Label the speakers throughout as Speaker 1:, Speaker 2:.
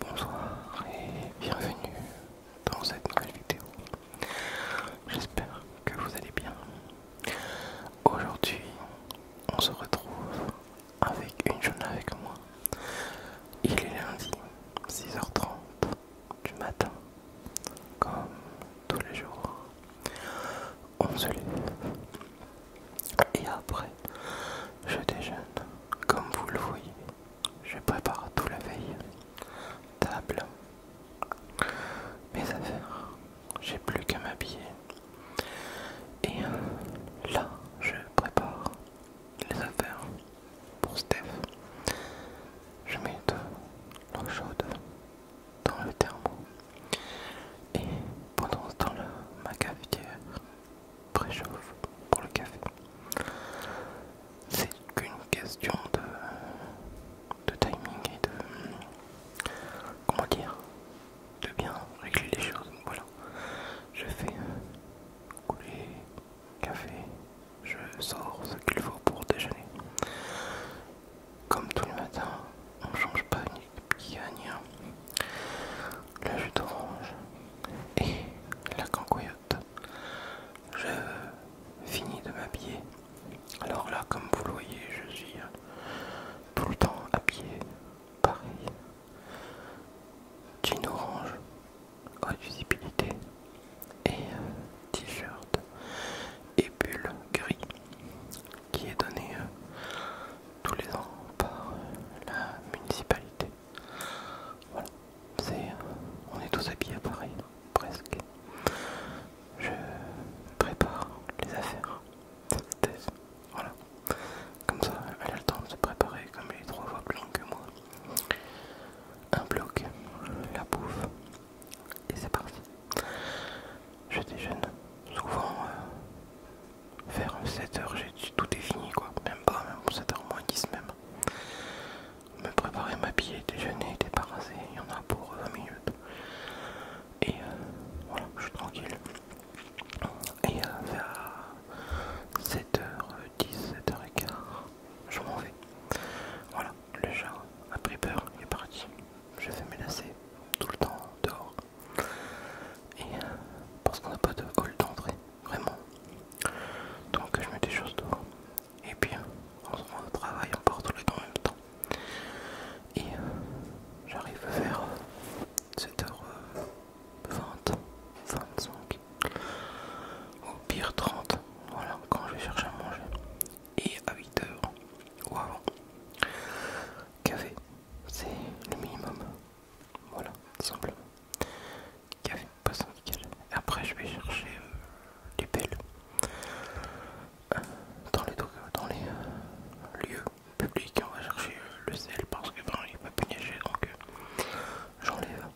Speaker 1: Bonsoir et bienvenue dans cette nouvelle vidéo. J'espère que vous allez bien. Aujourd'hui, on se retrouve avec une journée avec moi. Il est lundi, 6h30 du matin, comme tous les jours. On se lève et après, je déjeune. Comme vous le voyez, je prépare tout la veille. Table, mes affaires. J'ai plus qu'à m'habiller. Et euh, là, je prépare les affaires pour Steph. Je mets de l'eau chaude dans le thermo. Et pendant ce temps-là, ma cafetière préchauffe pour le café. C'est qu'une question de de timing et de comment dire de bien régler les choses. Voilà, je fais couler café, je sors ce qu'il faut pour déjeuner. Comme tous les matins, on change pas ni gagne hein. la jus d'orange et la cancoyote. Je finis de m'habiller alors là, comme vous le voyez, je suis euh, tout le temps à pied, pareil. Jean orange, haute et euh, t-shirt et bulle gris qui est donné euh, tous les ans par la municipalité. Voilà, on est tous habillés pareil, presque je prépare les affaires thèse. Voilà. Comme ça, elle a le temps de se préparer comme elle est trois fois plus longue que moi. Un bloc, la bouffe, et c'est parti. Je déjeune. Souvent, euh, vers 7h, tout est fini quoi. Même pas, même 7h moins 10 même. Me préparer, m'habiller, déjeuner, débarrasser, il y en a pour 20 minutes et euh, voilà, je suis tranquille. Et euh, vers 7h10, 7h15, euh, je m'en vais. Voilà, le chat a pris peur, il est parti. Je fais menacer tout le temps dehors. Et parce qu'on n'a pas de vol d'entrée, vraiment. Donc je mets des choses dehors. Et puis on se rend au travail, on part le le temps en même temps. Et euh, j'arrive vers 7h20, euh, 25, euh, au pire 30, voilà, quand je vais chercher à manger. Et à 8h, ou avant, café, c'est le minimum. Voilà, simplement. Café, poisson, et Après, je vais chercher les pelles dans les, dans les euh, lieux publics. On va chercher euh, le sel parce que ben, il donc euh, j'enlève.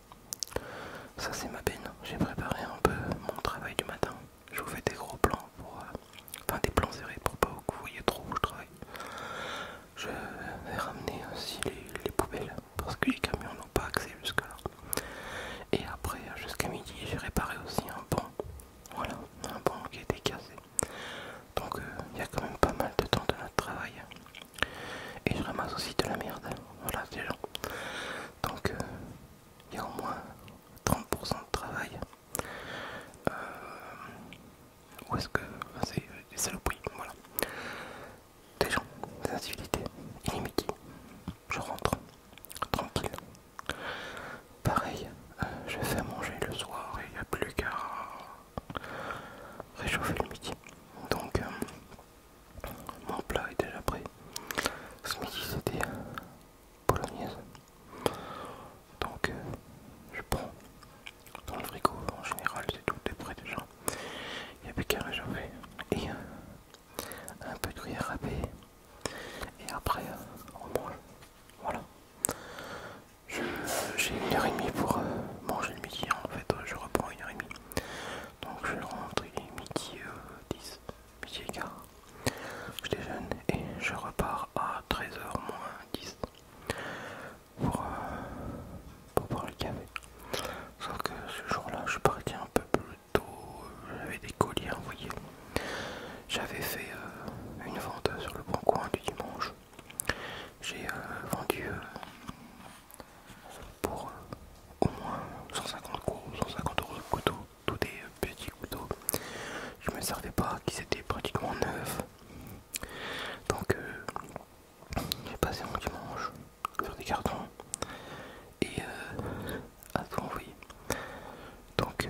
Speaker 1: Ça, c'est ma peine. J'ai préparé un peu mon travail du matin. Je vous fais des gros plans pour. enfin, des plans serrés pour pas que vous voyez trop où je travaille. Je vais ramener aussi les, poubelles parce que les camions n'ont pas accès jusque-là. Et après, jusqu'à midi, j'ai réparé aussi un pont. Voilà, un banc qui a été cassé. Donc euh, il y a quand même pas mal de temps de notre travail. Et je ramasse aussi de la merde. Voilà, c'est gens. Donc euh, il y a au moins 30% de travail. Euh, où Ou est-ce que c'est des saloperies Voilà. Des gens, des est Je rentre tranquille, Pareil, euh, je fais manger le soir et il n'y a plus qu'à réchauffer le midi. Donc euh, mon plat est déjà prêt. Ce midi c'était polonaise. Donc euh, je prends dans le frigo, en général c'est tout est prêt déjà. Il n'y a plus qu'à réchauffer. Et un peu de gruyère râpée et après euh, on mange. Voilà. J'ai une heure et demie pour euh, manger le midi, en fait je reprends une heure et demie. Donc je rentre midi 10, euh, midi et Je déjeune et je repars à 13h moins 10 pour, pour le café. Sauf que ce jour-là, je partais un peu plus tôt, j'avais des colis à envoyer. J'avais fait euh, une vente sur le bon coin du dimanche. J'ai euh, vendu euh, pour au moins 150 euros, de couteau, tous des petits couteaux. Je ne me servais pas, qui étaient pratiquement neufs. Donc j'ai passé mon dimanche sur des cartons et à oui euh, Donc,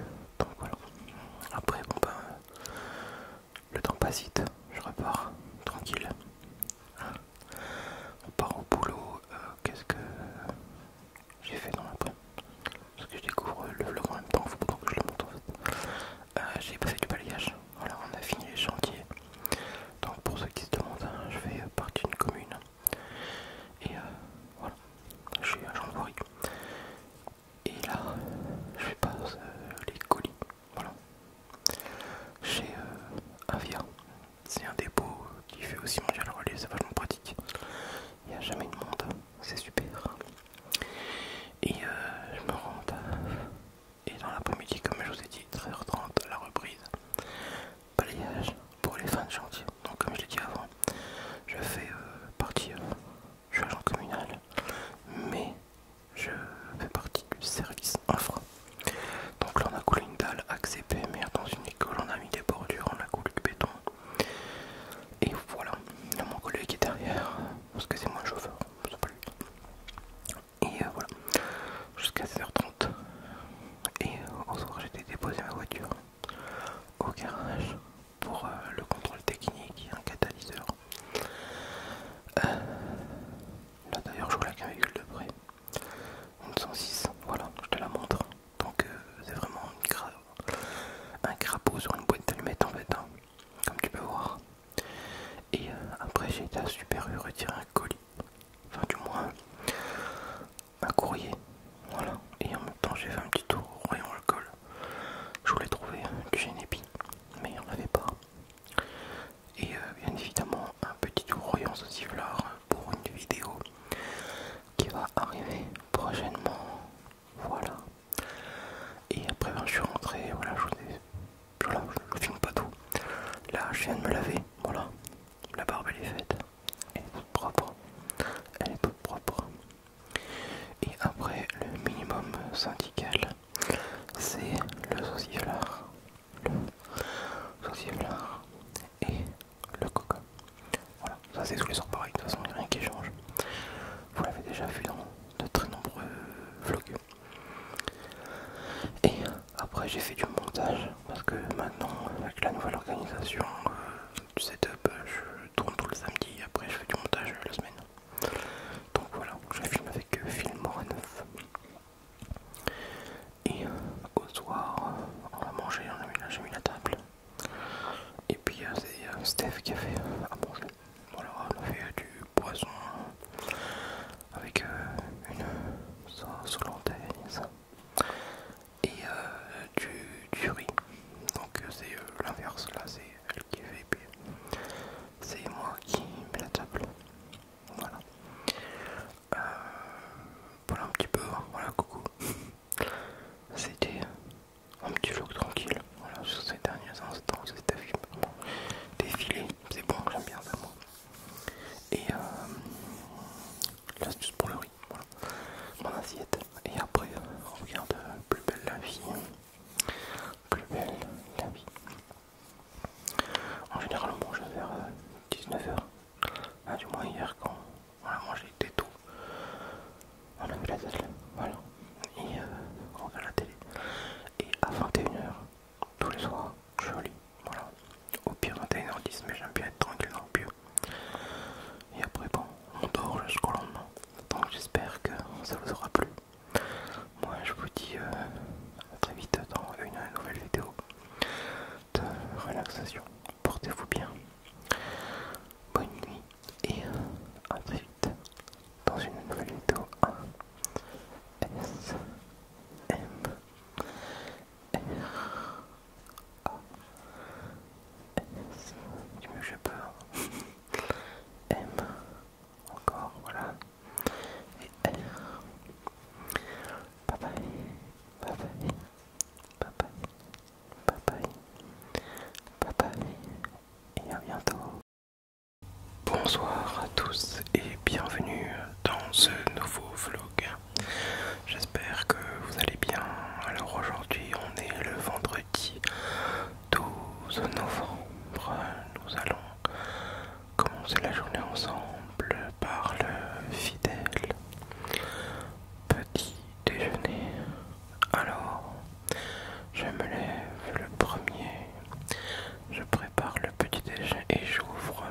Speaker 1: voilà. Après, bon ben, le temps passe vite, je repars tranquille. On part au boulot. Euh, qu'est-ce que j'ai fait dans l'après Parce que je découvre le vlog en même temps, faut que je le monte en fait. Euh, j'ai passé du balayage. Voilà, on a fini les chantiers. Donc pour ceux qui se demandent, je vais partir d'une commune. Et voilà à jean gendarmerie. Et là, je passe pas euh, les colis, voilà, chez Avia. Euh, c'est un dépôt qui fait aussi la relais, c'est vachement pratique. Il n'y a jamais de monde, c'est super. Et euh, je me rends Et dans l'après-midi, comme je vous ai dit, 13h30, la reprise. Balayage pour les fins de chantier donc comme je l'ai dit avant, je fais euh, partie, euh, je suis agent communal, mais je fais partie du service infra. Donc là on a coulé une dalle acp mais dans une école, on a mis des bordures, on a coulé du béton. Et voilà, mon collègue est derrière, parce que c'est moi le chauffeur, c'est pas lui. Et euh, voilà, jusqu'à 16h30. Et au soir j'ai déposé ma voiture au garage pour euh, le contrôle technique et un catalyseur. Euh, là d'ailleurs je vois la véhicule de près. Une 106, voilà, je te la montre. Donc euh, c'est vraiment un crapaud sur une boîte d'allumettes en fait, hein, comme tu peux voir. Et après j'ai été à Super retirer un colis, enfin du moins un courrier voilà, et en même temps j'ai fait un petit tour au rayon alcool. Je voulais trouver du Genepi, mais il n'y en avait pas. Et euh, bien évidemment un petit tour au ceci sauciflard pour une vidéo qui va arriver prochainement. Voilà. Et après ben, je suis rentré, voilà, je, ai... filme pas tout. Là je viens de me laver, voilà. La barbe elle est faite, elle est toute propre, elle est toute propre. Et après, le minimum syndical, c'est le sauciflard, le et le coca. Voilà, ça c'est tous les sorts pareil, de toute façon, rien qui change. Vous l'avez déjà vu dans de très nombreux vlogs. Et après, j'ai fait du montage parce que maintenant, avec la nouvelle organisation, euh, du setup, euh, je tourne tout le samedi après je fais du montage euh, la semaine. Donc voilà, je filme avec euh, Filmora 9. Et au soir, on a mangé, on a mis, la table. Et puis c'est Steph qui a fait à manger. Voilà, on a fait du poisson avec une sauce hollandaise et euh, du, riz. Donc euh, c'est euh, l'inverse, là c'est elle qui fait, puis c'est moi qui mets la table. Voilà. voilà un petit peu, hein. voilà coucou. C'était un petit look tranquille, voilà sur ces derniers instants, c'était vraiment défilé, c'est bon, j'aime bien ça moi. Et l'astuce pour le riz, voilà, mon assiette et après on regarde Plus belle la vie. Plus belle la vie. En général on mange vers 19h. Euh, ah, du moins hier quand on a mangé des On a vu la télé. Voilà. Et euh, on regarde la télé. Et à 21h, tous les soirs, je lis. Voilà. Au pire 21h10, mais j'aime bien être tranquille dans le et après, bon, on dort jusqu'au lendemain. Donc j'espère que ça vous aura plu. Moi, je vous dis euh, à très vite dans une nouvelle vidéo de relaxation. Portez-vous bien. Bonne nuit et à très vite dans une nouvelle vidéo ASMR a S du mieux que je hein. M encore voilà et R Bye bye bye bye bye bye bye bye bye bye et à bientôt Bonsoir à tous et bienvenue dans ce nouveau vlog. J'espère que vous allez bien. Alors aujourd'hui on est le vendredi. 12 novembre, nous allons commencer la journée ensemble par le fidèle petit déjeuner. Alors, je me lève le premier, je prépare le petit déjeuner et j'ouvre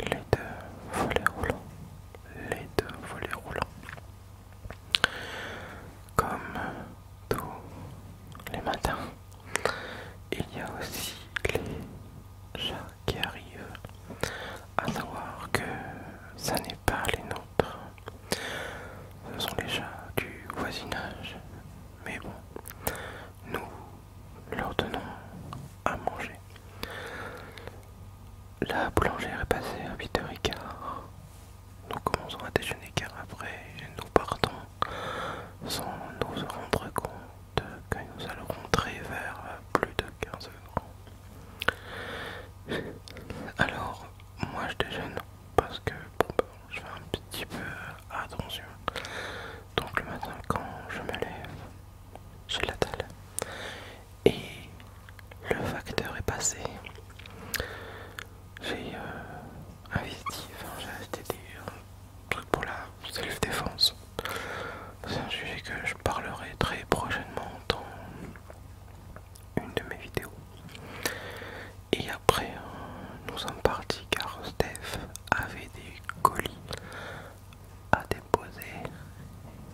Speaker 1: les deux volets roulants. Les deux volets roulants. Comme tous les matins, il y a aussi les chats qui arrivent, à savoir que ça n'est pas les nôtres, ce sont les chats du voisinage, mais bon, nous leur donnons à manger. La boulangère est passée à 8h15. Nous commençons à déjeuner car après nous partons sans nous rendre compte que nous allons rentrer vers plus de 15 h Alors moi je déjeune parce que ben, je fais un petit peu attention. Donc le matin quand je me lève, je la et le facteur est passé. J'ai euh, investi, j'ai acheté des trucs pour la self-défense. C'est un sujet que je parlerai très prochainement dans une de mes vidéos. Et après, nous sommes partis car Steph avait des colis à déposer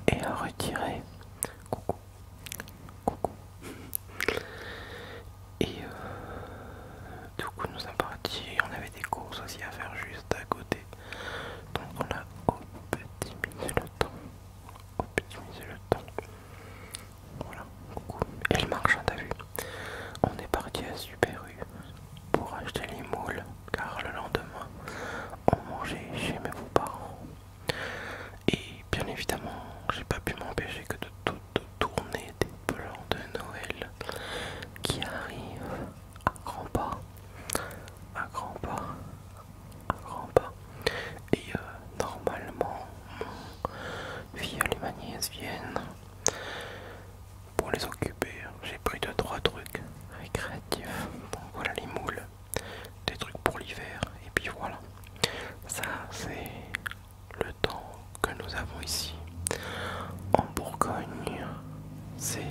Speaker 1: et à retirer. Coucou. Coucou. Et euh, du coup, nous sommes partis. On avait des courses aussi à faire juste à côté. Donc, on a optimisé le temps. optimisé le temps. Voilà. Coucou. Et le marchand, t'as vu On est parti à Super pour acheter les moules car le lendemain, on mangeait chez mes parents et bien évidemment, j'ai pas pu m'empêcher que de toutes tourner des plans de Noël qui arrivent à grands pas, à grands pas, à grands pas. Et euh, normalement, via les et viennent pour les occuper. J'ai pris deux trois trucs récréatifs. Bon voilà les moules des trucs pour l'hiver, et puis voilà. Ça, c'est le temps que nous avons ici en Bourgogne. C'est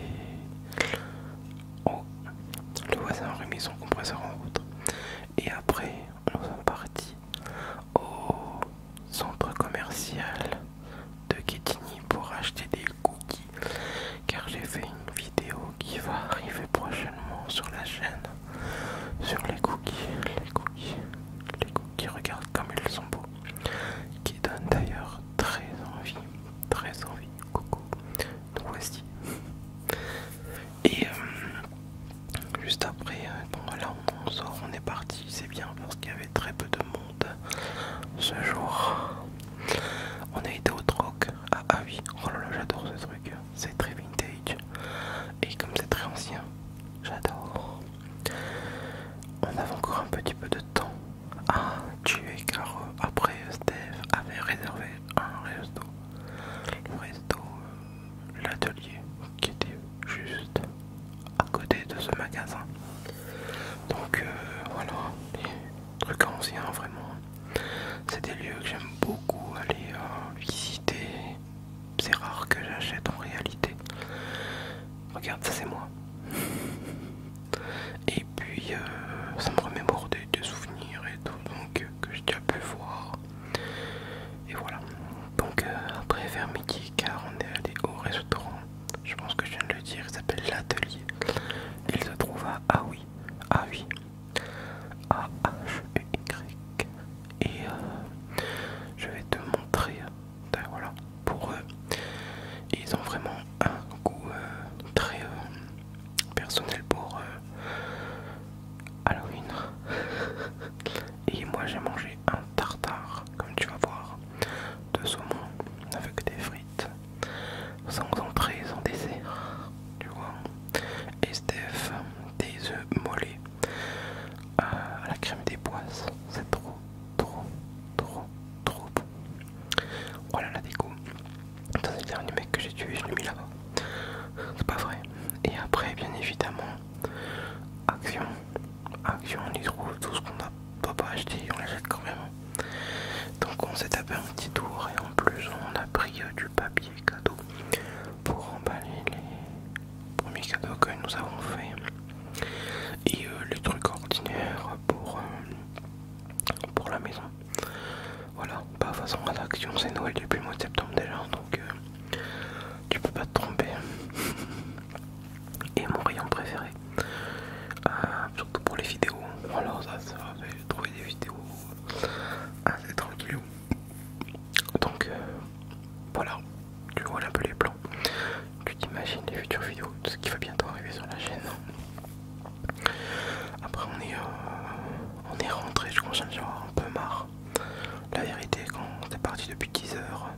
Speaker 1: le voisin a remis son compresseur en route, et après, nous sommes partis au centre commercial de Quetigny pour acheter des cookies car j'ai fait une vidéo qui va arriver prochainement sur la chaîne sur les cookies, les cookies, les cookies, regarde comme ils sont beaux, qui donne d'ailleurs très envie, très envie, coco donc voici. Et euh, juste après, euh, bon voilà, on sort, on est parti, c'est bien parce qu'il y avait très peu de monde ce jour. On a été au troc. Ah, ah oui, oh là là, j'adore ce truc c'est très vintage et comme c'est très ancien, j'adore. On avait encore un petit peu de temps à ah, tuer car euh, après Steve avait réservé un resto, le resto, euh, l'atelier qui était juste à côté de ce magasin. Donc euh, voilà, des trucs anciens vraiment c'est des lieux que j'aime beaucoup aller euh, visiter. C'est rare que j'achète en réalité. Regarde, ça c'est moi. Et puis euh, ça me remémore des, souvenirs et tout, donc euh, que j'ai déjà pu voir. Et voilà. Donc après vers midi, car on est allé au restaurant. Je pense que je viens de le dire, il s'appelle l'atelier. Il se trouve à Ah oui, Ah oui a h e y Et euh, je vais te montrer. Ben voilà, pour eux, ils ont vraiment un goût euh, très euh, personnel pour Halloween. Et moi, j'ai mangé un tartare, comme tu vas voir, de saumon avec des frites sans entrée, sans dessert, tu vois. Estef, des œufs mollets euh, à la crème des boisses. c'est trop, trop, trop, trop beau. Voilà la déco. c'est le dernier mec que j'ai tué, je l'ai mis là-bas. C'est pas vrai. Et après, bien évidemment, Action. Action, on y trouve tout ce qu'on n'a pas, pas acheté, on l'achète quand même. Donc, on s'est tapé un petit tour et en plus, on a pris euh, du papier cadeaux pour emballer les premiers cadeaux que nous avons fait et euh, les trucs ordinaires pour, euh, pour la maison. Voilà, pas bah, façon rédaction c'est Noël depuis le mois de septembre déjà donc euh, tu peux pas te tromper. Et mon rayon préféré, surtout pour les vidéos. Alors ça, ça va trouver des vidéos ah trop tranquillou. Donc euh, voilà, tu vois un peu les plans, tu t'imagines les futures vidéos, tout ce qui va bientôt arriver sur la chaîne. Après on est, euh, on est rentré, je crois j'en ai un peu marre. La vérité, quand on est parti depuis 10 heures,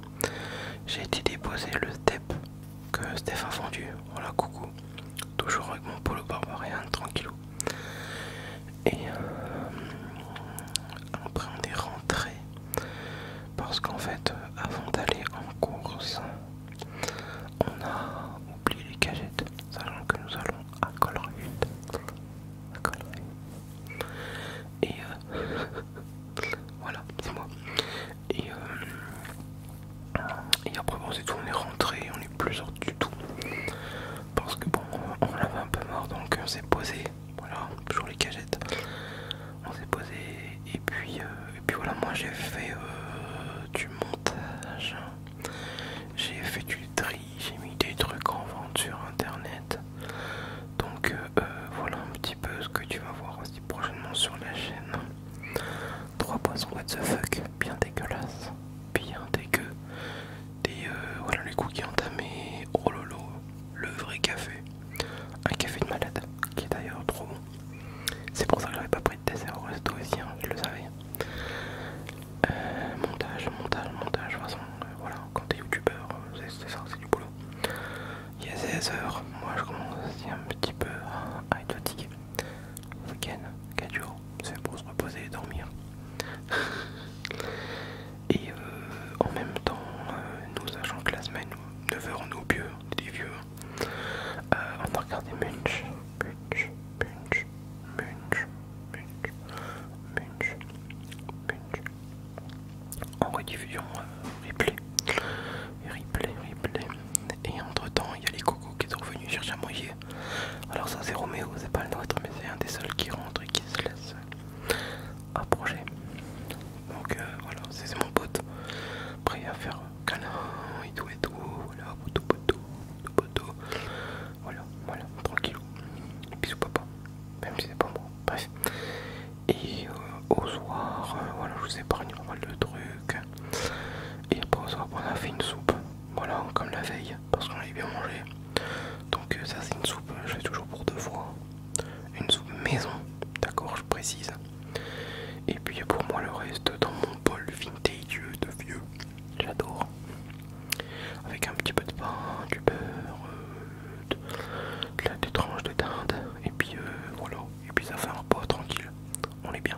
Speaker 1: j'ai été déposer le step que Steph a vendu. Voilà, coucou toujours avec mon polo barbarien tranquillou et après on est rentré parce qu'en fait euh, avant d'aller en course on a oublié les cagettes sachant que nous allons à Colruyt et euh, voilà c'est moi euh, et, après bon c'est tout on est rentré on plus du tout. Parce que bon, on, l'avait un peu mort donc on euh, s'est posé. Voilà, toujours les cagettes. On s'est posé et puis, euh, et puis voilà, moi j'ai fait euh, du montage. J'ai fait du tri, j'ai mis des trucs en vente sur internet. Donc voilà un petit peu ce que tu vas voir aussi prochainement sur la chaîne. Trois poissons what the fuck, bien dégueulasse bien un Des, euh, voilà les cookies entamés, oh lolo, le vrai café. Un café de malade, qui est d'ailleurs trop bon. C'est pour ça que j'avais pas pris de dessert au resto aussi, hein, je le savais. Euh, montage, montage, montage, de toute façon, euh, voilà, quand t'es youtubeur, c'est ça, c'est du boulot. Il a 16 heures. moi je commence aussi un petit peu à être fatigué week-end, 4 jours, c'est pour se reposer et dormir. et euh, en même temps, euh, nous allons que la semaine, 9h on est des vieux, euh, on a regardé Munch, Munch, Munch, Munch, Munch, Munch, Munch, en rediffusion replay, replay, replay. Et entre temps, il y a les cocos qui sont venus chercher à manger alors ça c'est Roméo, c'est pas le nôtre, mais c'est un des seuls qui rentre et qui se laisse approcher. Donc euh, voilà, c'est mon pote, prêt à faire canon et tout et tout, voilà, poteau, poteau, poteau, voilà, voilà, tranquillou, bisous papa, même si c'est pas moi, bref. Et euh, au soir, euh, voilà, je vous ai pas mal de trucs. Et après au soir, on a fait une soupe, voilà, comme la veille parce qu'on a bien mangé. Donc euh, ça c'est une soupe, euh, je fais toujours pour deux fois. Une soupe maison, d'accord, je précise. Et puis pour moi le reste dans mon bol vintage de vieux, j'adore. Avec un petit peu de pain, du beurre, euh, des tranches de dinde, et puis voilà, et puis ça fait un repas tranquille, on est bien.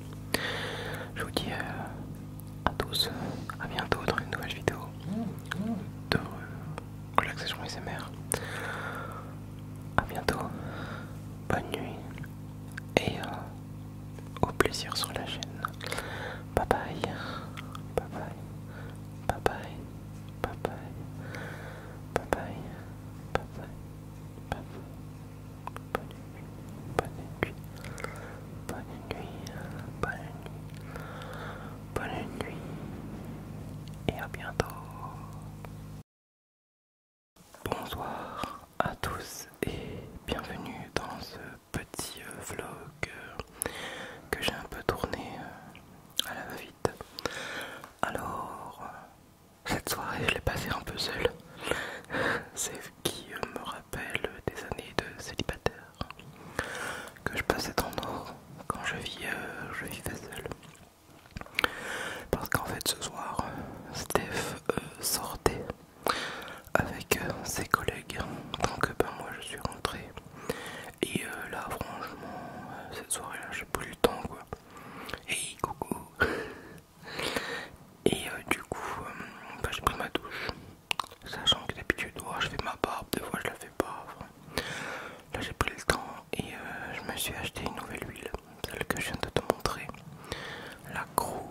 Speaker 1: Je vous dis euh, à tous, euh, à bientôt dans une nouvelle vidéo de euh, relaxation SMR. A bientôt, bonne nuit et euh, au plaisir sur la chaîne. Bye bye, bye bye, bye bye, bye bye, bye bye, bye bye, bye bye bonne nuit, bonne nuit, bonne nuit, bonne nuit, bonne nuit, et à bientôt. Bonsoir à tous et bienvenue dans ce petit euh, vlog euh, que j'ai un peu tourné euh, à la va-vite. Alors, cette soirée, je l'ai passée un peu seule. C'est ce qui euh, me rappelle des années de célibataire que je passais en or quand euh, je, vivais seule. Parce qu'en fait, ce soir, Steph euh, sortait avec ses collègues. Donc, ben, moi, je suis rentré. Et là, franchement, cette soirée-là, j'ai plus le temps quoi. Hey, coucou! Et euh, du coup, euh, bah, j'ai pris ma douche. Sachant que d'habitude, oh, je fais ma barbe, des fois je la fais pas. Là, j'ai pris le temps et euh, je me suis acheté une nouvelle huile, celle que je viens de te montrer. La CREW.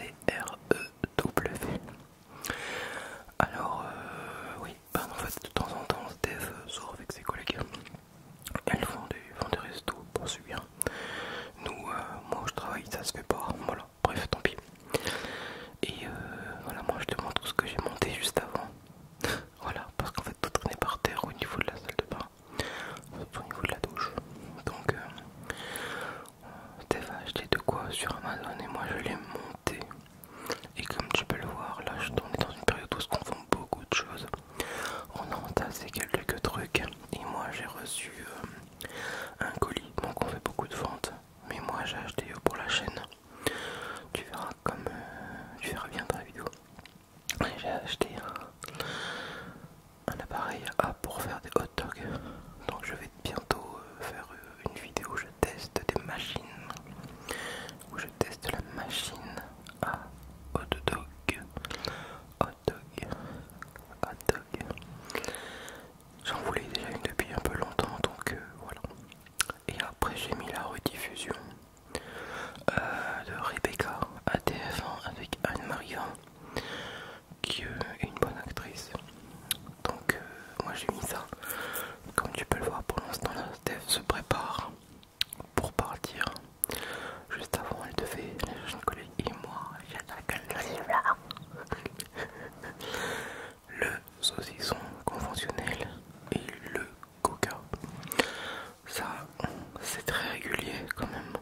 Speaker 1: e w Alors, oui, bah, en fait de temps en temps Steph euh, sort avec ses collègues elles font des, restos pour subir nous euh, moi je travaille ça se fait pas voilà bref tant pis et euh, voilà moi je te montre ce que j'ai monté juste avant voilà parce qu'en fait tout traînait par terre au niveau de la salle de bain au niveau de la douche donc Steph a acheté de quoi sur Amazon et moi je l'ai monté et comme tu peux le voir, là, je suis dans une période où on vend beaucoup de choses. On a entassé quelques trucs. Et moi, j'ai reçu euh, un colis. Donc, on fait beaucoup de ventes. Mais moi, j'ai acheté pour la chaîne. Tu verras comme tu euh, verras bien dans la vidéo. J'ai acheté un, appareil à pour faire des hot dogs. Donc, je vais bientôt euh, faire une vidéo où je teste des machines test teste la machine à hot dog. Hot dog. J'en voulais déjà une depuis un peu longtemps donc euh, voilà. Et après j'ai mis la rediffusion euh, de Rebecca à TF1 avec Anne-Marie qui euh, est une bonne actrice. Donc moi j'ai mis ça. Comme tu peux le voir pour l'instant, la dev se prépare pour partir. Juste avant, elle devait, la jeune et moi, le saucisson conventionnel et le coca. Ça, c'est très régulier quand même.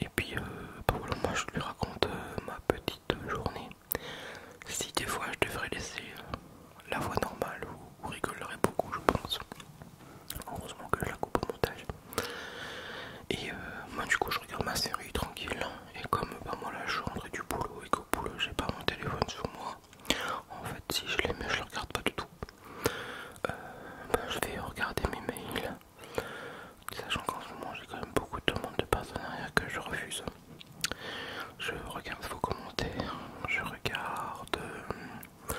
Speaker 1: Et puis, euh, pour le voilà, moi je lui raconte euh, ma petite journée. Si des fois je devrais laisser euh, la voix normale ou rigolerait beaucoup je pense. Heureusement que je la coupe au montage. Et euh, moi du coup je regarde ma série tranquille et comme pas bah, moi là je rentre du boulot et qu'au boulot j'ai pas mon téléphone sur moi, en fait si je mets je le regarde pas du tout. Euh, bah, je vais regarder mes mails, sachant qu'en ce moment j'ai quand même beaucoup de demandes de partenariat que je refuse. Je regarde vos commentaires, je regarde euh,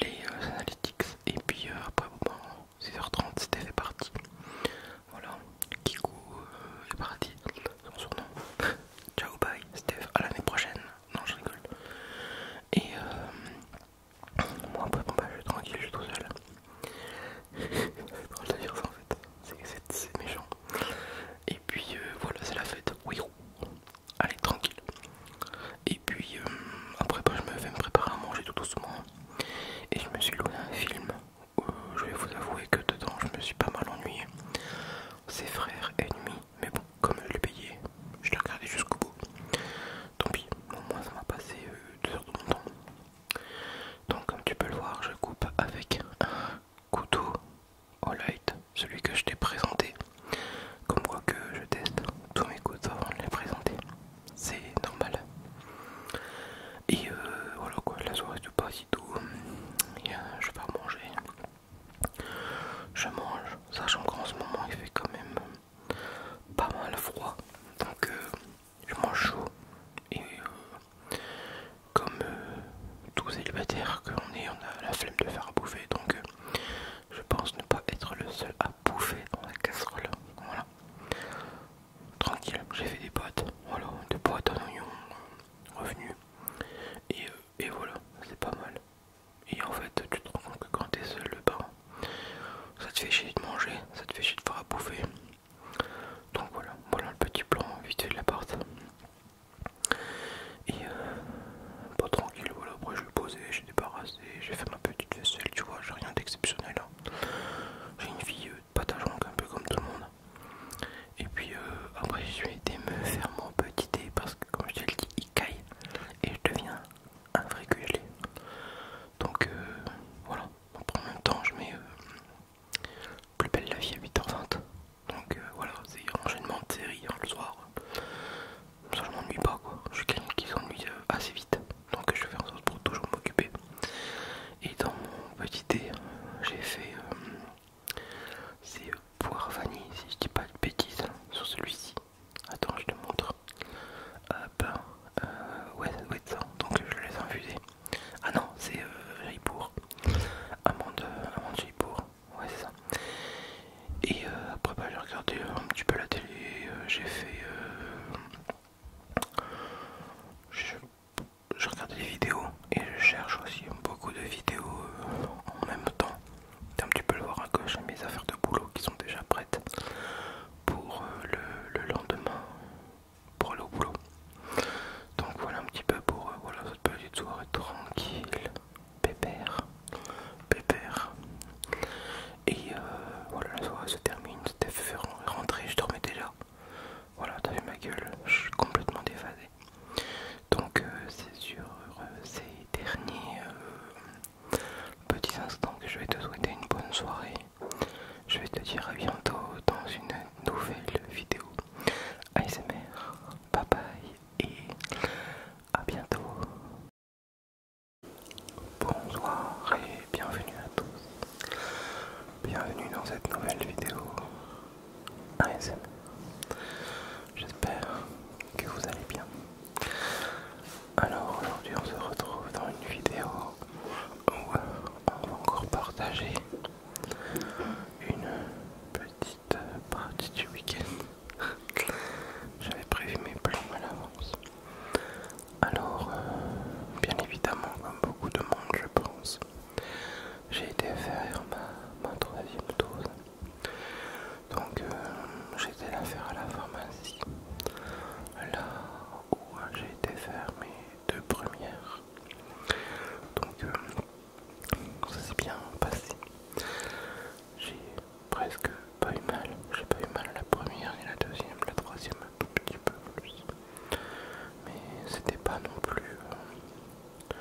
Speaker 1: les euh, analytics et puis euh, après bon, 6h30 ben, c'était est parti. Voilà, Kiku est parti, c'est mon surnom. Ciao bye Steph, à l'année prochaine. Non je rigole. Et moi après bon, ben, je suis tranquille, je suis tout seul. c'est drôle dire ça en fait, c'est méchant. Et puis euh, voilà, c'est la fête. Oui, oh. allez, tranquille. Et puis euh, après, bah, je me fais me préparer à manger tout doucement. Et je me suis loué un film. Euh, je vais vous avouer que dedans, je me suis pas mal ennuyé. C'est frères ennemis, mais bon, comme je l'ai payé, je l'ai regardé jusqu'au bout. Tant pis, au moins ça m'a passé deux heures de mon temps. Donc, comme tu peux le voir, je coupe avec couteau au light, celui que je t'ai présenté. Comme quoi que je teste tous mes couteaux avant de les présenter, c'est normal. Et euh, voilà quoi, la soirée se passe et tout. Euh, je je manger. Je mange, sachant qu'en ce moment il fait quand même pas mal froid. Donc euh, je mange chaud et comme euh, tous les que qu'on est, on a la flemme de faire à bouffer, donc euh, je pense ne pas être le seul à bouffer dans la casserole. Voilà. Tranquille, j'ai fait des boîtes, voilà, des boîtes en oignon, revenu, et, euh, et voilà, c'est pas mal. Et en fait, tu te rends compte que quand t'es seul, le ça te fait chier de manger, ça te fait chier de faire à bouffer. Donc voilà, voilà le petit plan vite fait la porte. Et euh, pas tranquille, voilà. Après, je poser posé, j'ai débarrassé, j'ai fait ma petite vaisselle, tu vois. J'ai rien d'exceptionnel. Hein. J'ai une vie euh, de pâte un peu comme tout le monde. Et puis euh, après, je vais allé me faire mon petit dé parce que, comme je te dis, il caille et je deviens un vrai Donc voilà. Après, en même temps, je mets plus belle la vie à 8h20. Donc euh, voilà, c'est enchaînement de séries hein, le soir. Ça, ne m'ennuie pas quoi. Je suis quelqu'un qui s'ennuie euh, assez vite. Donc je fais en sorte pour toujours m'occuper. Et dans mon petit thé, j'ai fait. Euh, c'est vanille, si je dis pas de bêtises, hein, sur celui-ci. Attends, je te montre. Hop. ouais, ça Donc je les laisse infuser. Ah non, c'est ripour, pour Amande, amande ouais ça. Et euh, après bah, j'ai regardé un petit peu la télé, euh, j'ai fait... Euh, je, regarde les vidéos et je cherche aussi beaucoup de vidéos en même temps. Un petit peu le voir à gauche, mes affaires de boulot qui sont déjà prêtes pour le, lendemain, pour aller au boulot. Donc voilà un petit peu pour voilà, cette petite soirée tranquille. Pépère. Pépère. Et euh, voilà, la soirée se termine. C'était fait rentrer, je dormais déjà. Voilà, t'as vu ma gueule, je suis complètement déphasé. Donc, euh, c'est sur euh, ces derniers petits instants que je vais te souhaiter une bonne soirée. Je vais te dire à bientôt dans une nouvelle vidéo. ASMR, bye bye et à bientôt. Bonsoir et bienvenue à tous. Bienvenue dans cette nouvelle vidéo ASMR. J'espère que vous allez bien. Alors aujourd'hui on se retrouve dans une vidéo où on va encore partager une petite euh, partie du week-end. J'avais prévu mes plans à l'avance. Alors, euh, bien évidemment, comme beaucoup de monde, je pense, j'ai été faire ma, troisième dose. Donc, euh, j'étais là faire à la pharmacie, là où hein, j'ai été faire mes deux premières. Donc, ça s'est bien passé. J'ai presque pas eu mal. J'ai pas eu mal la première, ni la deuxième, la troisième, un tout petit peu plus. Mais c'était pas non plus euh,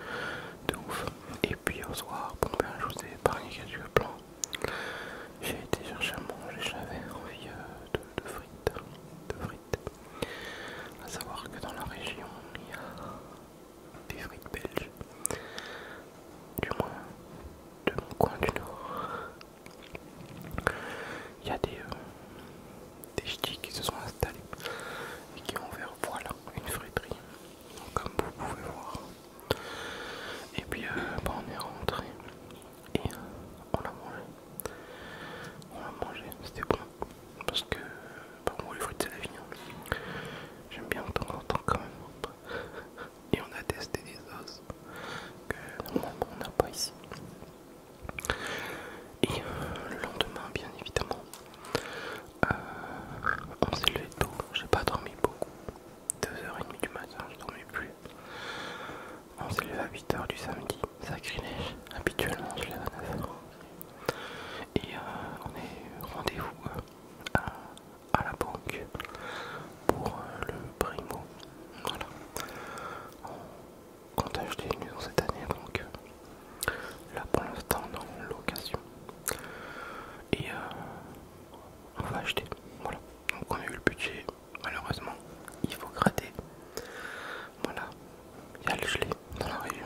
Speaker 1: de ouf. Et puis au soir, bon ben, je vous ai épargné quelques plans. J'ai été chercher à manger, j'avais envie euh, de, frites. De frites. À savoir que dans la région, il y a des frites belges, du moins de mon coin du nord. Il y a des, euh, ch'tis qui se sont installés et qui ont fait voilà, une friterie, comme vous pouvez voir. Et puis, euh, bah, on est rentré et on l'a mangé. On l'a mangé, c'était bon parce que pour moi, les fruits c'est la vie j'aime bien de en quand même et on a testé des os que normalement on n'a pas ici et euh, le lendemain bien évidemment euh, on s'est levé tôt j'ai pas dormi beaucoup 2h30 du matin je dormais plus on s'est levé à 8h du samedi sacrilège habituellement je lève à 9h et euh, on est rendez-vous euh, à, la banque pour euh, le primo. Voilà. On compte acheter une maison cette année, donc euh, là pour l'instant on location. Et on va acheter. Voilà. Donc on a eu le budget, malheureusement, il faut gratter. Voilà, il y a le gelé dans la région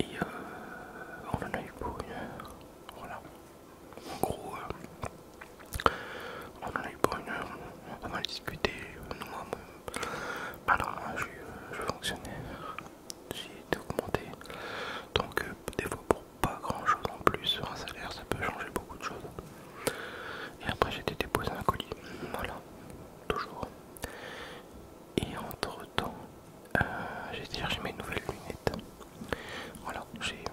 Speaker 1: Et euh, on en a eu pour une heure. Voilà. En gros, euh, on en a eu pour une heure. On a discuté. Nous, moi, alors je suis fonctionnaire. J'ai été augmenté. Donc, euh, des fois, pour pas grand chose en plus, un salaire, ça peut changer beaucoup de choses. Et après, j'ai été déposé un colis. Voilà. Toujours. Et entre temps, euh, j'ai déjà mes nouvelles lunettes. Voilà,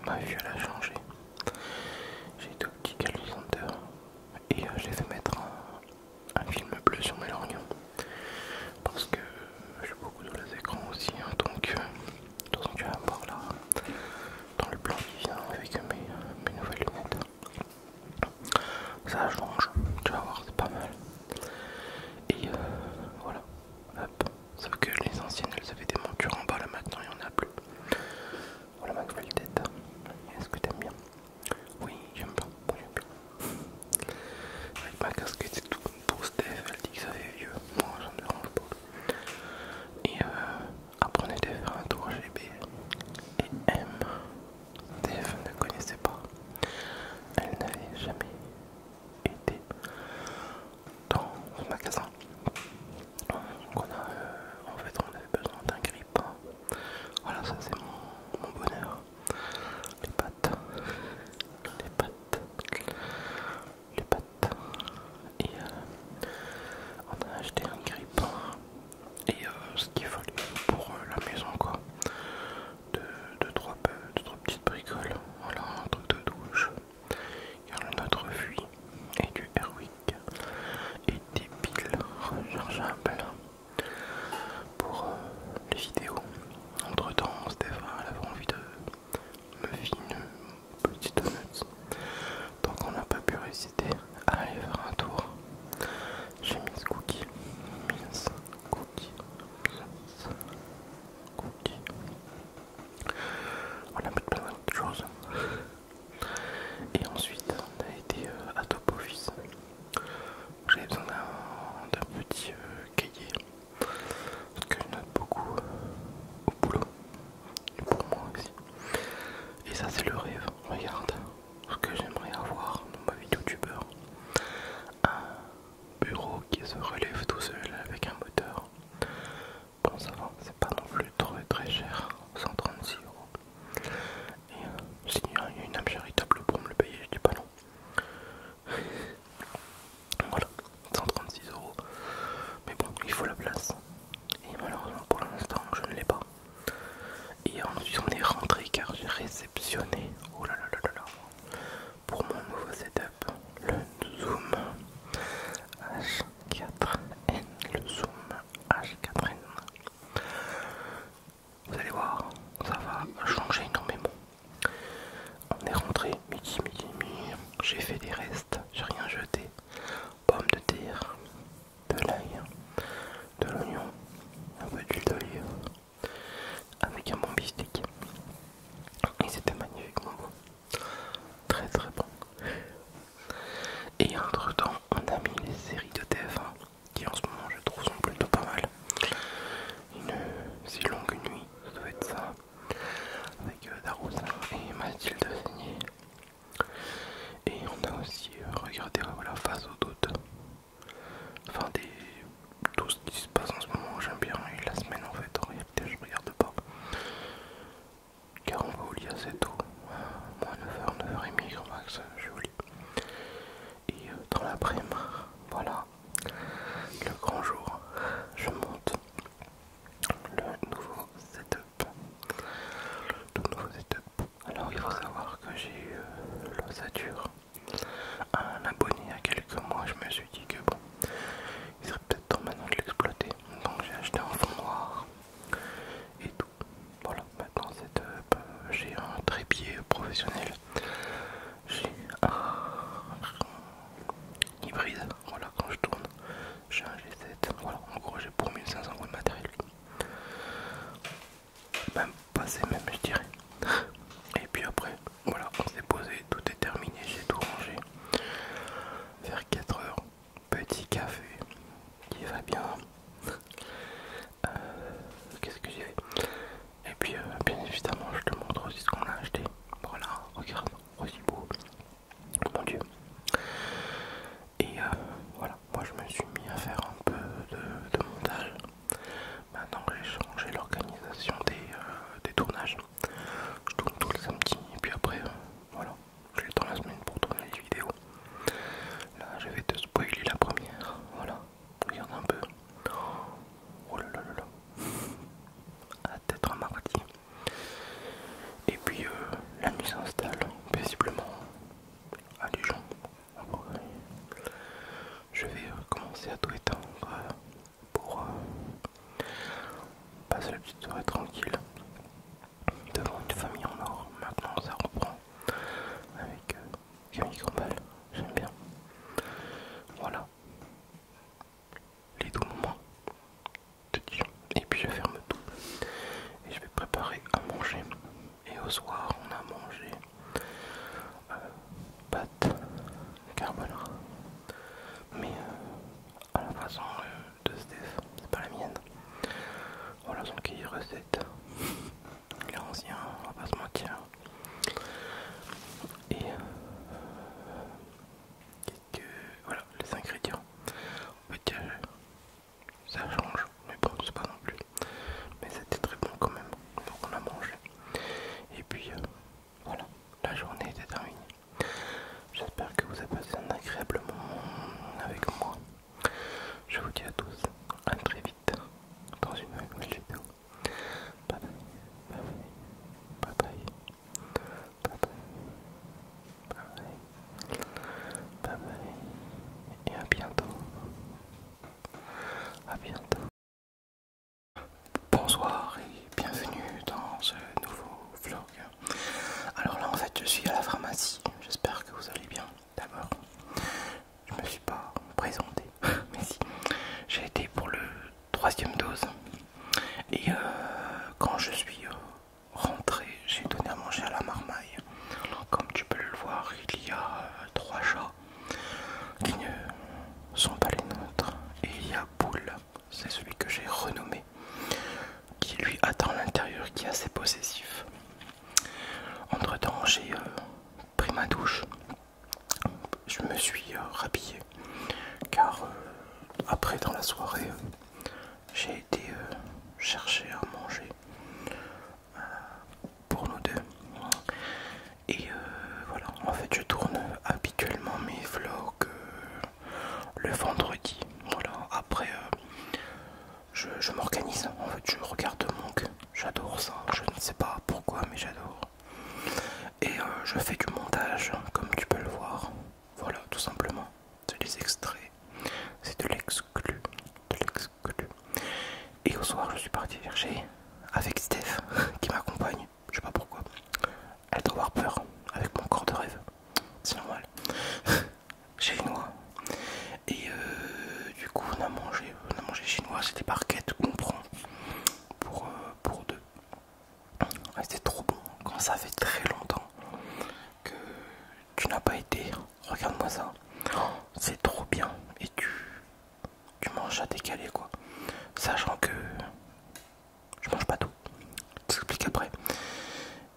Speaker 1: ma vue elle a changé. J'ai petits au de et j'ai euh, je fait mettre un, film bleu sur mes lorgnons. Parce que j'ai beaucoup de les écrans aussi, hein. donc que tu voir là, dans le plan qui vient avec mes nouvelles lunettes. Ça change, tu vas voir, c'est pas mal. Et euh, voilà, hop. Sauf que les anciennes, elles avaient des montures en bas, là maintenant il n'y en a plus. Voilà ma nouvelle tête. Est-ce que t'aimes bien Oui, j'aime bien. Avec ma casquette, c'est tout comme pour elle dit que ça fait vieux. Moi, j'en dérange pas. Et euh, après, faire un tour GB et M. Dave ne connaissait pas. Elle n'avait jamais été dans le magasin. on a, euh, en fait, on avait besoin d'un grip. Voilà, ça c'est mon, bonheur. Les pattes, les pattes, les pattes. Et euh, on a acheté un grip et euh, ce qu'il fallait pour euh, la maison quoi. De, trois, petites bricoles, voilà un truc de douche, il y a notre fuit et du Airwick et des piles rechargeables pour euh, les vidéos. Entre temps Stéphane avait envie de me filer une petite note. Donc on n'a pas pu résister à aller faire un tour j'ai mis Cookie. Mince, Cookie. Cookie. On a mis plein d'autres choses. Et ensuite, on a été euh, à Top Office. J'avais besoin d'un petit euh, cahier. Parce que je note beaucoup euh, au boulot. pour moi aussi. Et ça, c'est le rêve. Regarde, que j'aimerais avoir dans ma vie youtubeur un bureau qui se relève tout seul avec un moteur bon ça va c'est pas non plus trop très cher 136 euros et euh, s'il y a une âme charitable pour me le payer du dis voilà 136 euros mais bon il faut la place et malheureusement pour l'instant je ne l'ai pas et ensuite on est rentré car j'ai réceptionné, oh là pour mon nouveau setup, le Zoom H4N, le Zoom H4N. Vous allez voir, ça va changer énormément. On est rentré midi, midi, midi. J'ai fait des restes, j'ai rien jeté. Pomme de terre, de l'ail, hein. de l'oignon, un peu d'huile d'olive avec un bon bistec. et c'était magnifiquement bon, très très bon. Et entre temps, on a mis les séries de TF1 qui en ce moment je trouve sont plutôt pas mal. Une si longue nuit, ça doit être ça, avec euh, Daroussin et Mathilde Seigné. Et on a aussi euh, regardé euh, la Face aux doutes, Enfin, tout ce qui se passe en ce moment, j'aime bien. Et la semaine, en fait, en réalité, je regarde pas. Car on va au lit assez tôt. Moi, 9h, 9h30 max, euh, je vais Et euh, dans l'après-midi, voilà, le grand jour, je monte le nouveau setup. Alors il faut savoir que j'ai eu l'ossature l'ossature. Un abonné il y a quelques mois, je me suis dit que bon, il serait peut-être temps maintenant de l'exploiter. Donc j'ai acheté un fond noir et tout. Voilà, maintenant euh, bah, j'ai un trépied professionnel. J'ai un hybride, voilà quand je tourne. J'ai un G7, voilà, en gros j'ai pour 1500 euros de matériel même passé même je dirais et puis après voilà on s'est posé tout est terminé j'ai tout rangé vers 4 heures petit café qui va bien euh, qu'est-ce que j'ai et puis euh, bien évidemment je te montre aussi ce qu'on a acheté voilà regarde aussi beau mon dieu et euh, voilà moi je me suis mis à faire un peu de, montage. Maintenant j'ai changé l'organisation euh, des, tournages. Je tourne tous les samedis et puis après, euh, voilà, j'ai le la semaine pour tourner les vidéos. Là je vais te spoiler la première, voilà, regarde un peu. Oh là là là là, à tête un mardi. Et puis euh, la nuit s'installe paisiblement à Dijon, je vais commencer à tout étendre pour euh, passer la petite soirée tranquille devant une famille en or. Maintenant, ça reprend avec un euh, Camille J'aime bien. Voilà les doux moments de Et puis je ferme tout et je vais préparer à manger. Et au soir, on a mangé euh, pâte, carbone. Mais euh, à la façon euh, de Steve, c'est pas la mienne. Voilà son cahier recette. Il anciens, ancien, on va pas se Et quelques voilà les ingrédients ça change, mais bon, c'est pas non plus. Mais c'était très bon quand même, donc on a mangé. Et puis euh, voilà, la journée était terminée. J'espère que vous avez passé un agréable moment avec moi. Je vous dis à tous, à très vite dans une nouvelle vidéo. bye bye, bye bye, bye bye, bye bye, bye bye, et à bientôt. A bientôt. Bonsoir et bienvenue dans ce nouveau vlog. Alors là en fait je suis à la pharmacie, j'espère que vous allez bien d'abord. Je me suis pas présenté, mais si. J'ai été pour le troisième dose et euh, quand je suis euh, rentré j'ai donné à manger à la marmaille comme tu peux le voir, il y a euh, trois chats qui ne sont pas les nôtres. Et il y a Boule, c'est celui que j'ai renommé, qui lui attend l'intérieur, qui est assez possessif. Entre temps, j'ai euh, pris ma douche. Je me suis euh, rhabillé car après dans la soirée j'ai été chercher à manger pour nous deux. Et euh, voilà, en fait, je tourne habituellement mes vlogs euh, le vendredi. Voilà, après, euh, je, m'organise. En fait, je regarde Monk. J'adore ça. Je ne sais pas pourquoi, mais j'adore. Et je fais du montage, comme tu peux le voir. Voilà, tout simplement. C'est les extraits. C'est de l'exclu. De l'exclu que Et au soir, je suis parti chercher avec Steph qui m'accompagne, je sais pas pourquoi. Elle doit avoir peur avec mon corps de rêve, c'est normal. Chinois. Et euh, du coup, on a mangé, on a mangé chinois, c'était des qu'on prend pour, euh, pour deux. C'était trop bon quand ça fait très longtemps que tu n'as pas été Regarde-moi ça. Oh, c'est trop bien. Et tu, tu manges à décaler quoi. Sachant que je mange pas tout. Je t'explique après.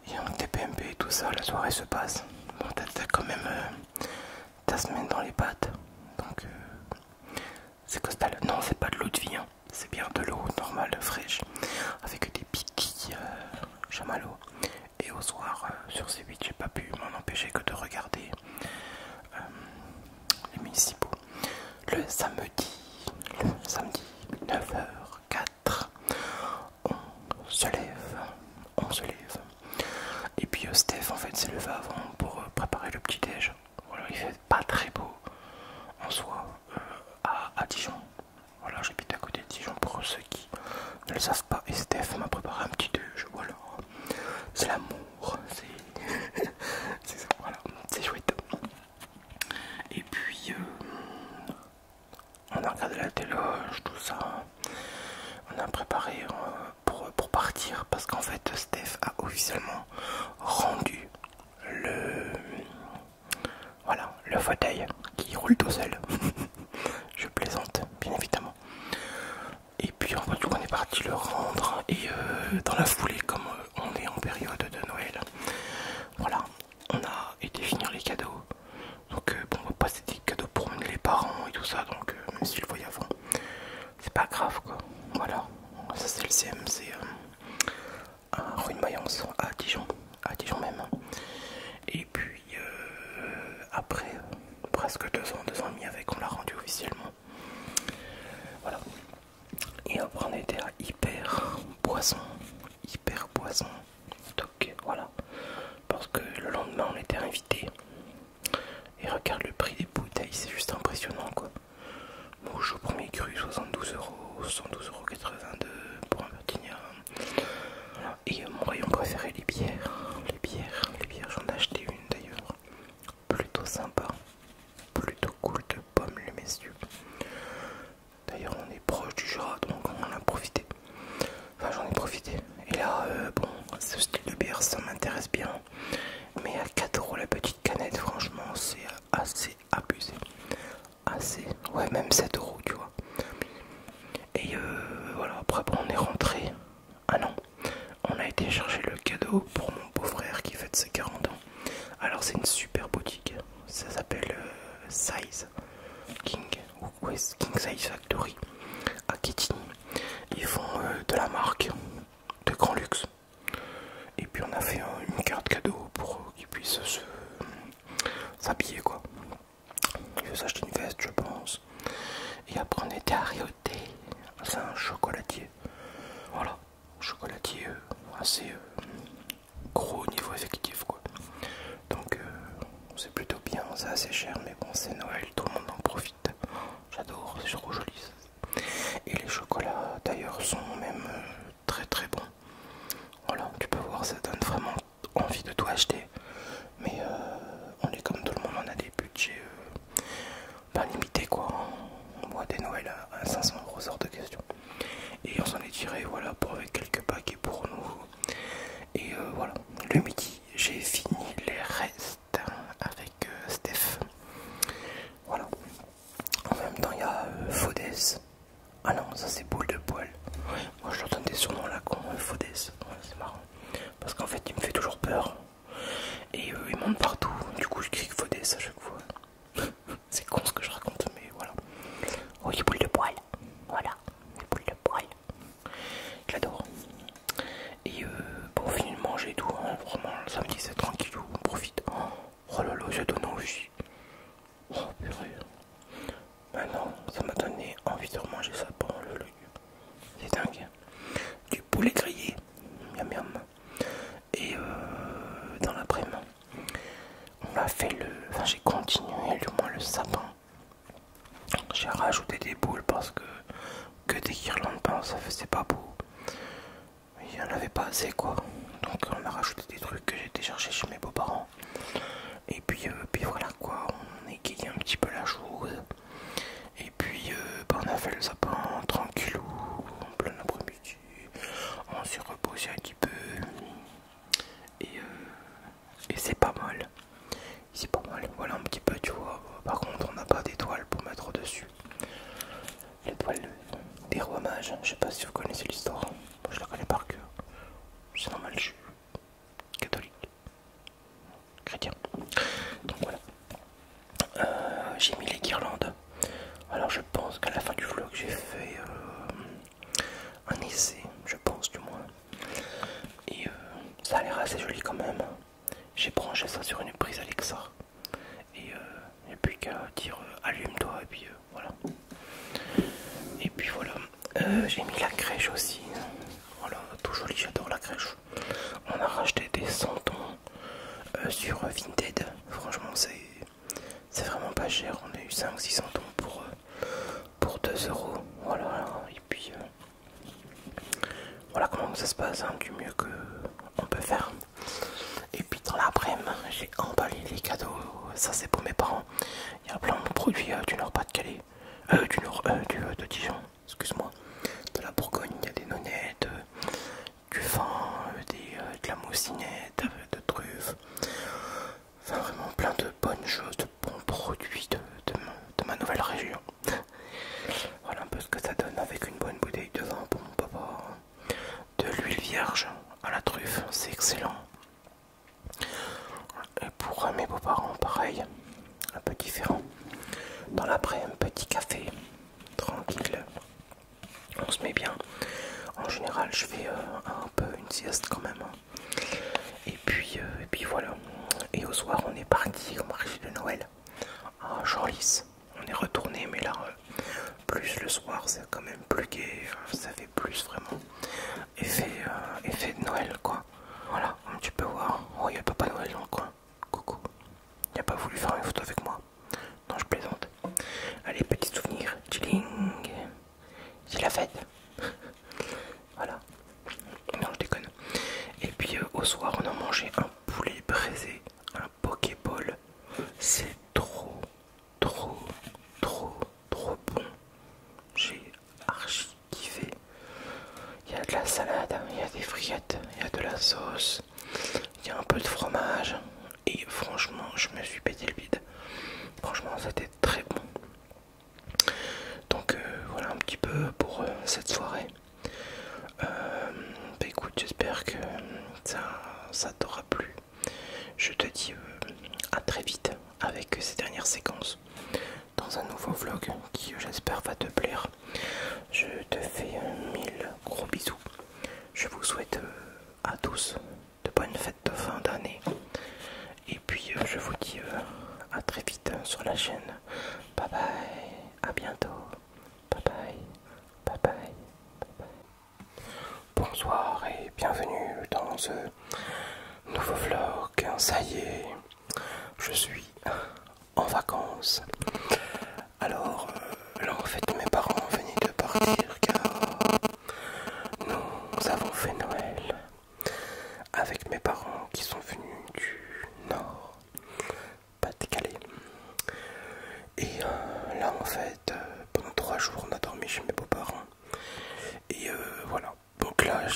Speaker 1: y Et des PMP et tout ça, la soirée se passe. Bon, t'as quand même euh, ta semaine dans les pattes. Donc euh, c'est costal. Non, c'est pas de l'eau de vie. Hein. C'est bien de l'eau normale, fraîche, avec des piquilles euh, et au soir, euh, sur C8, j'ai pas pu m'en empêcher que de regarder euh, les municipaux. Le samedi, le samedi 9h04, on se lève, on se lève. Et puis euh, Steph en fait s'est levé avant pour préparer le petit déj. Voilà, il fait pas très beau en soi à, à Dijon. Voilà, j'habite à côté de Dijon pour ceux qui ne le savent pas. Et Steph m'a préparé un petit déj. Voilà, c'est l'amour, c'est ça, voilà, c'est chouette. Et puis, euh, on a regardé la télé, euh, tout ça. On a préparé euh, pour, pour partir parce qu'en fait, Steph a officiellement rendu le. Voilà, le fauteuil qui roule tout seul. Je plaisante, bien évidemment. Et puis en coup on est parti le rendre hein, et euh, dans la foulée, comme euh, on est en période de Noël, voilà, on a été finir les cadeaux. Donc euh, bon bon, pas c'était des cadeaux pour les parents et tout ça, donc même s'ils le voyaient avant, c'est pas grave quoi. Voilà, ça c'est le CM, c'est à rue de Mayence, à Dijon, à Dijon même. Et et puis euh, après presque deux ans, deux ans et demi avec, on l'a rendu officiellement. Voilà. Et après on était à hyper boisson, Hyper boisson. Toc, voilà. Parce que le lendemain on était invité. Et regarde le prix des bouteilles, c'est juste impressionnant quoi. Mouche au premier cru, 72 euros, 72,82 euros pour un Bertignan. Et euh, mon rayon préféré, les bières. Les bières, les bières, j'en ai acheté une d'ailleurs. Plutôt sympa, plutôt cool de pommes les messieurs. D'ailleurs, on est proche du Jura, donc on en a profité. Enfin, j'en ai profité. Et là, euh, bon, ce style de bière, ça m'intéresse bien. Mais à 4 euros la petite canette, franchement, c'est assez abusé. Assez, ouais, même 7€, euros, tu vois. Et euh, voilà, après, bon, on est rentré. Ah non, on a été chercher le cadeau pour mon beau-frère qui fête ses 40 ans. Alors c'est une super boutique, ça s'appelle euh, Size King ou King Size Factory à Kitty. Ils font euh, de la marque de grand luxe. Et puis on a fait euh, une carte cadeau pour qu'ils puissent s'habiller quoi. Il vais s'acheter une veste, je pense. Et après, on était à C'est un chocolatier. Voilà, chocolatier euh, assez euh, gros au niveau effectif, quoi. Donc, euh, c'est plutôt bien. C'est assez cher, mais bon, c'est Noël, tout le monde en profite. J'adore, c'est trop joli. Et les chocolats, d'ailleurs, sont même très très bons. Voilà, tu peux voir, ça donne vraiment envie de tout acheter. Mais euh, on est comme tout le monde, on a des budgets euh, pas limités quoi. On boit des Noëls à 500 euros hors de question. Et on s'en est tiré voilà pour avec quelques paquets pour nous. Et euh, voilà, le midi j'ai fini les restes avec Steph. Voilà. En même temps il y a Fodès. Ah non, ça c'est boule de poil. moi je leur donne des surnoms à la con, Fodès. c'est marrant parce qu'en fait il me fait toujours peur et euh, il monte partout du coup je crie Faudès à chaque fois c'est con ce que je raconte mais voilà oh les boules de poil voilà les boules de poil je l'adore et euh, bon finit de manger et tout hein. vraiment le samedi c'est tranquillou on profite oh là là ça donne envie oh maintenant bah ça m'a donné envie de manger ça pendant le c'est dingue. Du poulet grillé, miam miam. Et euh, dans l'après-midi, on a fait le. Enfin, j'ai continué du moins le sapin. J'ai rajouté des boules parce que que des guirlandes, pas ben, ça faisait pas beau. Il y en avait pas assez quoi. Donc on a rajouté des trucs que j'ai été chez mes beaux-parents. Et puis, euh, puis voilà, quoi, on égayait un petit peu la chose. Et puis euh, ben, on a fait le sapin tranquillou, en plein après-midi. On s'est reposé un petit peu. Et, euh, et c'est pas mal. C'est pas mal, voilà un petit peu tu vois. Par contre on n'a pas d'étoile pour mettre au-dessus. L'étoile des rois mages, je sais pas si vous connaissez l'histoire. Je la connais par cœur. C'est normal, je suis catholique chrétien. Donc voilà. Euh, j'ai mis les guirlandes. Alors je pense qu'à la fin du vlog j'ai fait euh, un essai, je pense du moins. Et euh, ça a l'air assez joli quand même. J'ai branché ça sur une prise Alexa. Et euh, et puis qu'à dire allume-toi et puis voilà. Et puis voilà. j'ai mis la crèche aussi. Voilà, tout joli, j'adore la crèche. On a racheté des centons euh, sur Vinted. Franchement, c'est vraiment pas cher. On a eu 5-6 centons pour, euh, pour 2 euros. Voilà, et puis euh, voilà comment ça se passe hein, du mieux que peut faire. Et puis dans l'après-midi, j'ai emballé les cadeaux. Ça, c'est pour mes parents. Il y a plein de produits du Nord-Pas-de-Calais, du Nord de Dijon excuse-moi, de la Bourgogne, il y a des nonnettes, euh, du vin, euh, euh, de la moussinette, de truffes, enfin vraiment plein de bonnes choses, de bons produits de, de ma nouvelle région. voilà un peu ce que ça donne avec une bonne bouteille de vin pour mon papa, de l'huile vierge à la truffe, c'est excellent. Et pour mes beaux-parents, pareil, un peu différent. Dans l'après, un petit café, tranquille, on se met bien. En général, je fais euh, un peu une sieste quand même. Hein. Euh, et puis, voilà. Et au soir, on est parti au marché de Noël à lisse, On est retourné, mais là, euh, plus le soir, c'est quand même plus gai. Ça fait plus vraiment effet de Noël, quoi. Voilà, tu peux voir. Oh, il n'y a Papa Noël dans le coin. Coucou. Il n'a pas voulu faire une photo avec moi. Non, je plaisante. Allez, petit souvenir. Chilling. C'est la fête. voilà. Non, je déconne. Et puis, euh, au soir, on a mangé un poulet braisé, un pokéball. C'est trop, trop, trop, trop bon. J'ai archi kiffé. Il y a de la salade, hein, il y a des frites, il y a de la sauce, il y a un peu de fromage. Et franchement, je me suis pété le vide Franchement, c'était très bon. Donc euh, voilà un petit peu pour euh, cette soirée. bah, écoute, j'espère que ça, t'aura plu. Je te dis à très vite avec ces dernières séquences dans un nouveau vlog qui euh, j'espère va te plaire. Je te fais euh, mille gros bisous. Je vous souhaite euh, à tous de bonnes fêtes de fin d'année. Et puis je vous dis à très vite sur la chaîne. Bye bye, à bientôt. bye bye. bye, bye. Bonsoir et bienvenue dans ce nouveau vlog. Ça y est je suis en vacances. Alors euh, là en fait mes parents venaient de partir car nous avons fait Noël avec mes parents qui sont venus du nord, pas décalé, Et euh, là en fait euh, pendant trois jours on a dormi chez mes beaux-parents. Et voilà, donc là euh,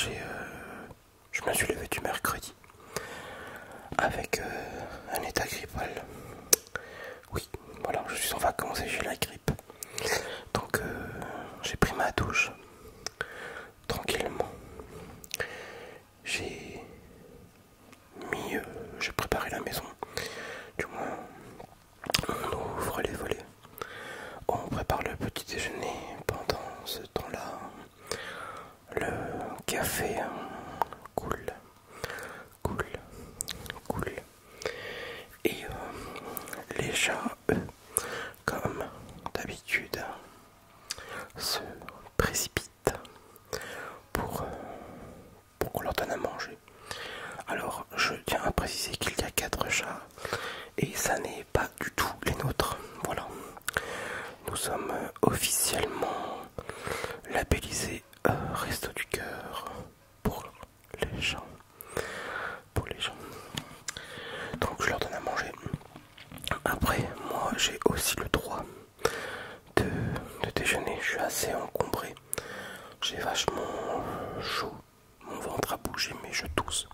Speaker 1: je me suis levé du mercredi avec euh, un état grippal oui voilà je suis en vacances et j'ai la grippe donc euh, j'ai pris ma douche tranquillement j'ai mis j'ai préparé la maison du moins on ouvre les volets on prépare le petit déjeuner pendant ce temps là le café coule, hein. coule, cool, Et euh, les chats, comme d'habitude, se précipitent pour, euh, pour qu'on leur donne à manger. Alors, je tiens à préciser qu'il y a quatre chats et ça n'est pas du tout les nôtres. Voilà, nous sommes euh, officiellement labellisés euh, Resto du Cœur pour les gens. Pour les gens, donc je leur donne à manger. Après, moi j'ai aussi le droit de, déjeuner. Je suis assez encombré, j'ai vachement chaud, mon ventre a bougé, mais je tousse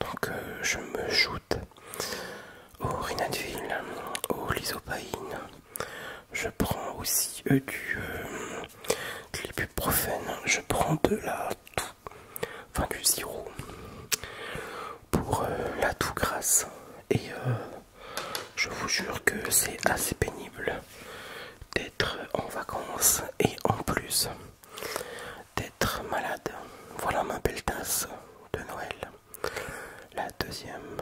Speaker 1: donc euh, je me joute au rinatville, au Lysopaïne. Je prends aussi euh, du euh, Je prends de la toux, enfin du zyro pour euh, la toux grasse. Et je vous jure que c'est assez pénible d'être en vacances et en plus d'être malade. Voilà ma belle tasse de Noël. La deuxième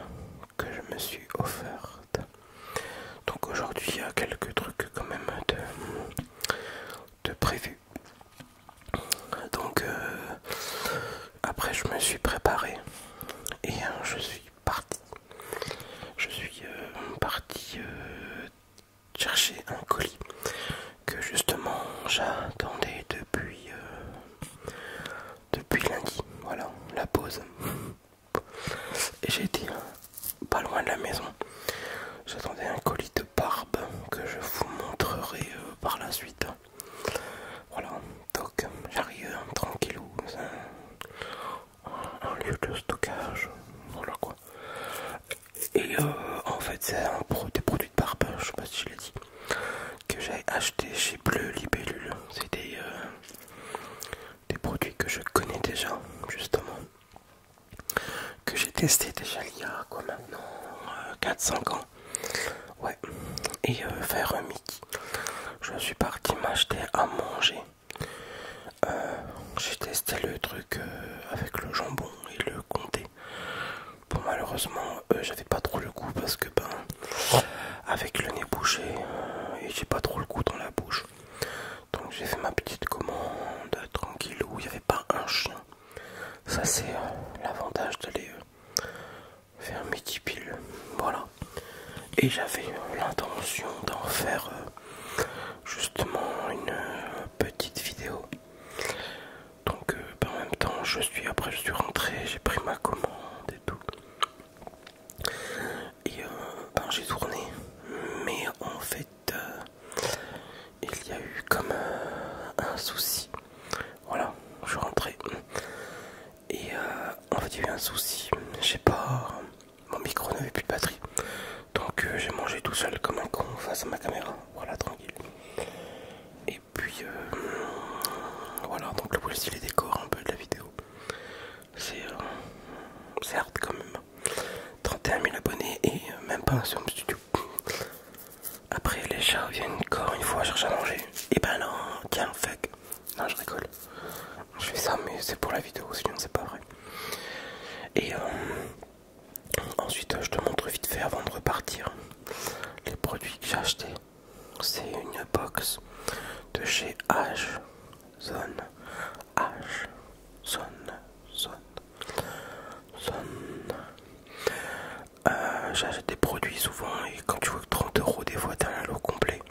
Speaker 1: que je me suis offerte. Donc aujourd'hui il y a quelques trucs quand même de, de prévu. Donc euh, après je me suis préparé et hein, je suis parti. Je suis euh, parti euh, chercher un colis que justement j'attendais depuis euh, depuis lundi voilà la pause et j'étais euh, pas loin de la maison j'attendais un colis de barbe que je vous montrerai euh, par la suite voilà donc j'arrive tranquillou un lieu de stockage voilà quoi et euh, en fait, c'est un produit des produits de barbe, je sais pas si je l'ai dit, que j'ai acheté chez Bleu Libellule. C'est des, euh, produits que je connais déjà, justement, que j'ai testé déjà il y a quoi maintenant 4-5 euh, ans. Ouais, et faire un Mickey. Je suis parti m'acheter à manger. j'ai testé le truc avec le jambon et le comté. Bon malheureusement euh, j'avais pas trop le goût parce que ben avec le nez bouché euh, j'ai pas trop le goût dans la bouche. Donc j'ai fait ma petite commande tranquille où il n'y avait pas un chien. Ça c'est euh, l'avantage de les faire midi Voilà. Et j'avais l'intention d'en faire justement une petite vidéo donc euh, ben, en même temps je suis après je suis rentré j'ai pris ma commande et tout et euh, ben, j'ai tourné mais en fait euh, il y a eu comme un, souci voilà je suis rentré et en fait il y a eu un souci je sais pas mon micro n'avait plus de batterie donc j'ai mangé tout seul comme un con face à ma caméra voilà tranquille puis euh, voilà, donc là style les décors un peu de la vidéo. C'est euh, certes quand même. 31 000 abonnés et euh, même pas un home studio. Après les chats viennent encore une fois chercher à manger. Et eh ben non, tiens, fuck. Non, je rigole. Je fais ça, mais c'est pour la vidéo, sinon c'est pas vrai. Et Ensuite, je te montre vite fait avant de repartir les produits que j'ai achetés. C'est une box de chez H Zone. H Zone. Euh, j'achète des produits souvent et quand tu vois que 30 euros des fois t'as un lot complet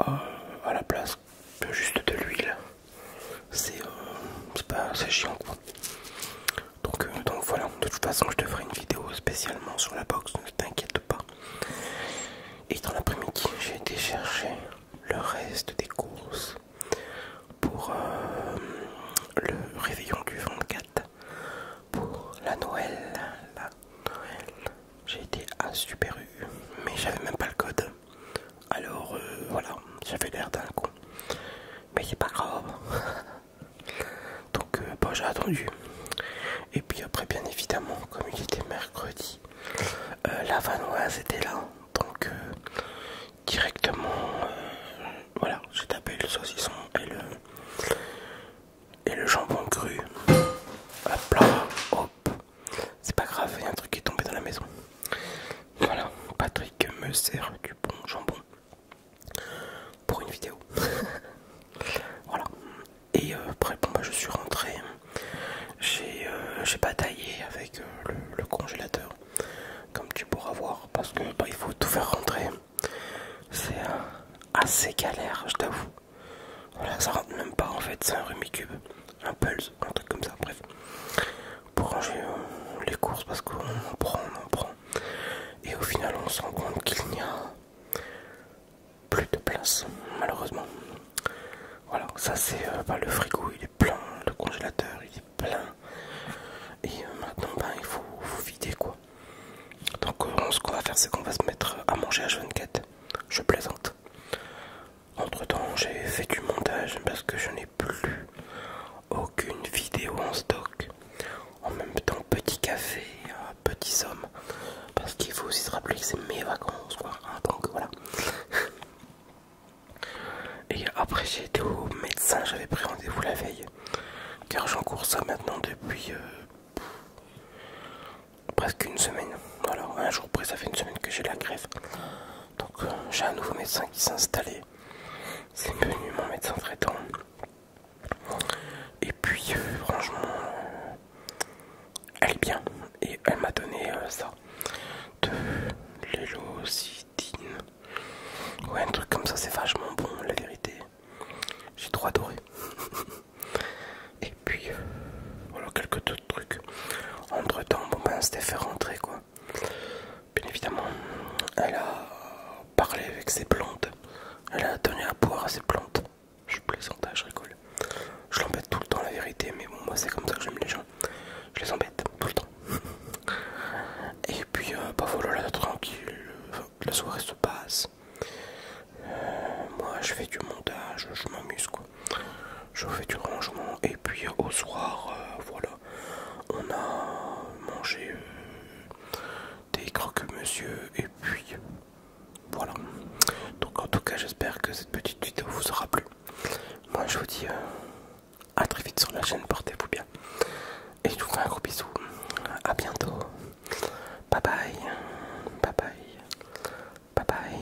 Speaker 1: euh, à la place juste de l'huile c'est euh, pas chiant quoi euh, donc, voilà, de toute façon je te ferai une vidéo spécialement sur la box, ne t'inquiète pas. Et dans l'après-midi, j'ai été chercher le reste des courses pour euh, le réveillon du 24, pour la Noël. J'ai été à Super U, mais j'avais même pas le code. Alors euh, voilà, j'avais l'air d'un con. Mais c'est pas grave. donc euh, bah, j'ai attendu et puis après bien évidemment comme il était mercredi euh, la vanoise était là donc euh, directement voilà j'ai tapé le saucisson et le et le jambon cru hop c'est pas grave il y a un truc qui est tombé dans la maison voilà Patrick me sert du bon jambon pour une vidéo. voilà. Et euh, après, bon, bah, je suis rentré. J'ai euh, bataillé avec euh, le, congélateur, comme tu pourras voir, parce que bah, il faut tout faire rentrer. C'est assez galère, je t'avoue. Voilà, ça rentre même pas en fait, c'est un Rumicube, un Pulse, un truc comme ça, bref. Pour ranger les courses, parce qu'on prend, on prend, et au final, on se rend compte qu'il n'y a plus de place, malheureusement. Voilà, ça c'est euh, bah, le frigo, il est plein, le congélateur, il est plein. Et euh, maintenant, ben, il faut, vider quoi. Donc, euh, ce qu'on va faire, c'est qu'on va se mettre à manger à Quête. Je plaisante. Entre temps, j'ai fait du montage parce que je n'ai plus aucune vidéo en stock en même temps petit café, euh, petit somme, parce qu'il faut aussi se rappeler que c'est mes vacances quoi, ah, donc voilà. Et après j'ai été au médecin, j'avais pris rendez-vous la veille, car j'en cours ça maintenant depuis euh, presque une semaine. Alors un jour près ça fait une semaine que j'ai la grève. Donc euh, j'ai un nouveau médecin qui s'est installé c'est venu mon médecin traitant. Et puis euh, franchement, euh, elle est bien et elle m'a donné euh, ça de l'élocitine. Ouais, un truc comme ça, c'est vachement bon, la vérité. J'ai trop adoré. et puis voilà quelques autres trucs. Entre temps, bon ben c'était fait rentrer quoi. Bien évidemment, elle a parlé avec ses plantes. Elle a donné à boire à ses plantes. Je plaisante, hein, je rigole. Je l'embête tout le temps, la vérité, mais bon, moi c'est comme ça que j'aime les gens. Je les embête tout le temps. Et puis, euh, bah voilà, tranquille, la soirée se passe. Euh, moi je fais du montage, je m'amuse quoi. Je fais du rangement, et puis euh, au soir, voilà on a mangé euh, des croque-monsieur et puis voilà. Donc en tout cas j'espère que cette petite vidéo vous aura plu. Moi je vous dis euh, à très vite sur la chaîne, portez-vous bien. Et je vous fais un gros bisou. à bientôt. Bye bye. Bye bye. Bye bye.